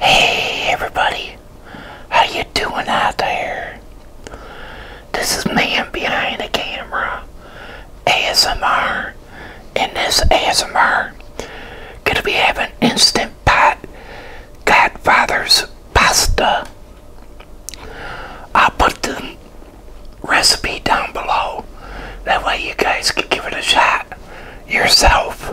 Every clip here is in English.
Hey everybody, how you doing out there? This is man behind the camera, ASMR, and this ASMR gonna be having instant pot Godfather's pasta. I'll put the recipe down below, that way you guys can give it a shot yourself.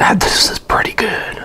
Now this is pretty good.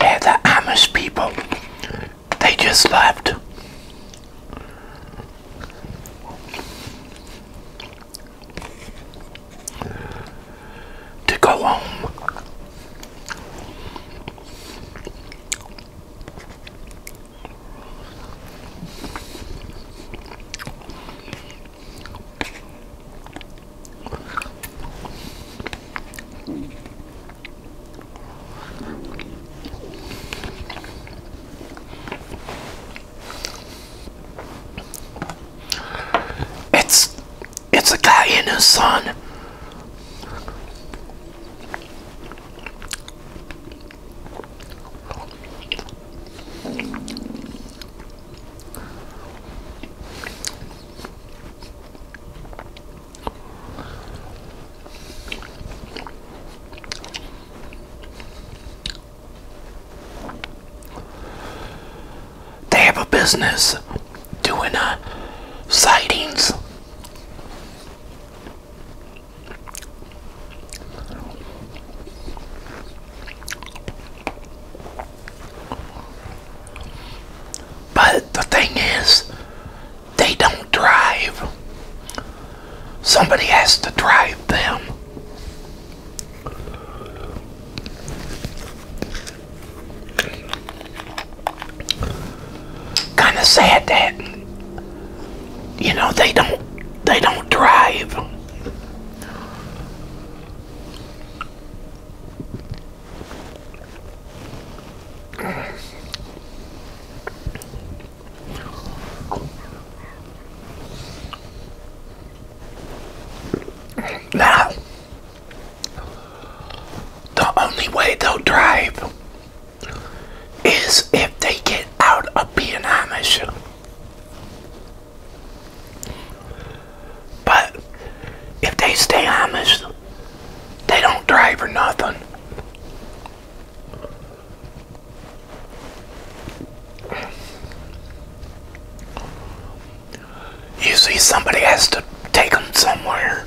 Yeah, the Amish people they just left. To go home. It's it's a guy and his son. They have a business doing uh, sightings. But the thing is, they don't drive. Somebody has to drive them. Kind of sad that you know they don't they don't drive. Now, the only way they'll drive is if they get out of being Amish. But if they stay Amish, they don't drive for nothing. You see, somebody has to take them somewhere.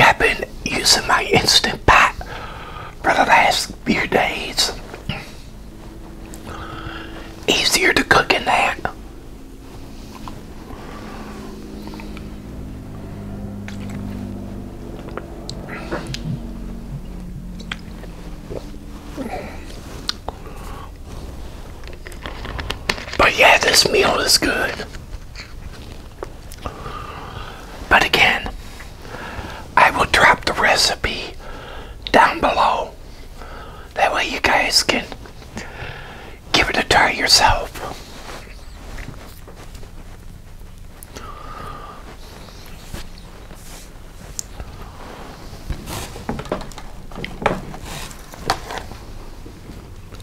I've been using my Instant Pot for the last few days. Easier to cook in that. But yeah, this meal is good. But again, I will drop the recipe down below. That way you guys can give it a try yourself.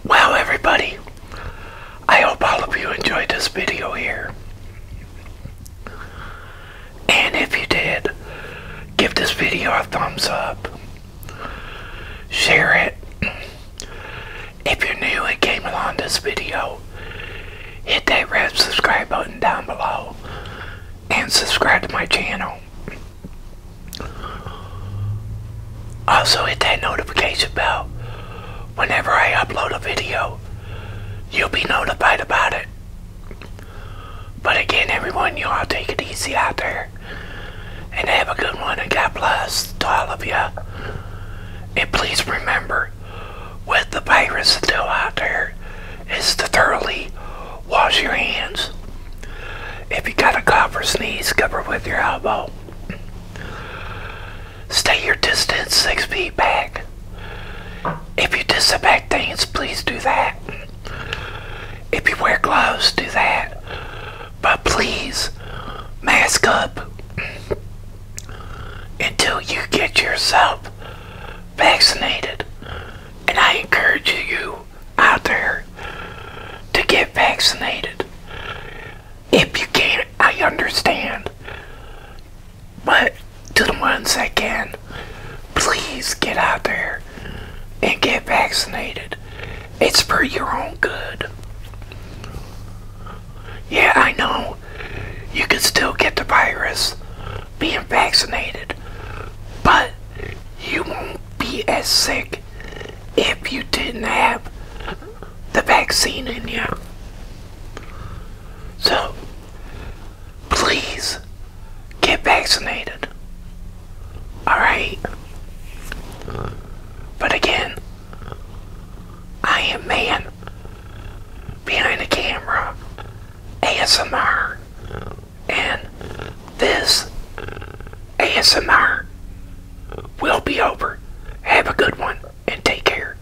Wow, everybody, I hope all of you enjoyed this video here. And if you did, give this video a thumbs up share it. If you're new and came along this video, hit that red subscribe button down below and subscribe to my channel. Also hit that notification bell. Whenever I upload a video, you'll be notified about it. But again, everyone, you all take it easy out there. And have a good one. And God bless to all of you. And please remember, with the virus still out there, is to thoroughly wash your hands. If you got a cough or sneeze, cover with your elbow. Stay your distance six feet back. If you disinfect things, please do that. If you wear gloves, do that. But please, mask up until you get yourself vaccinated. And I encourage you out there to get vaccinated. If you can't, I understand. But to the ones that can, please get out there and get vaccinated. It's for your own good. Yeah, I know you could still get the virus being vaccinated, but you won't be as sick if you didn't have the vaccine in you. So, please get vaccinated. Alright? But again, I am man behind the camera, ASMR, and this ASMR will be over. Have a good one and take care.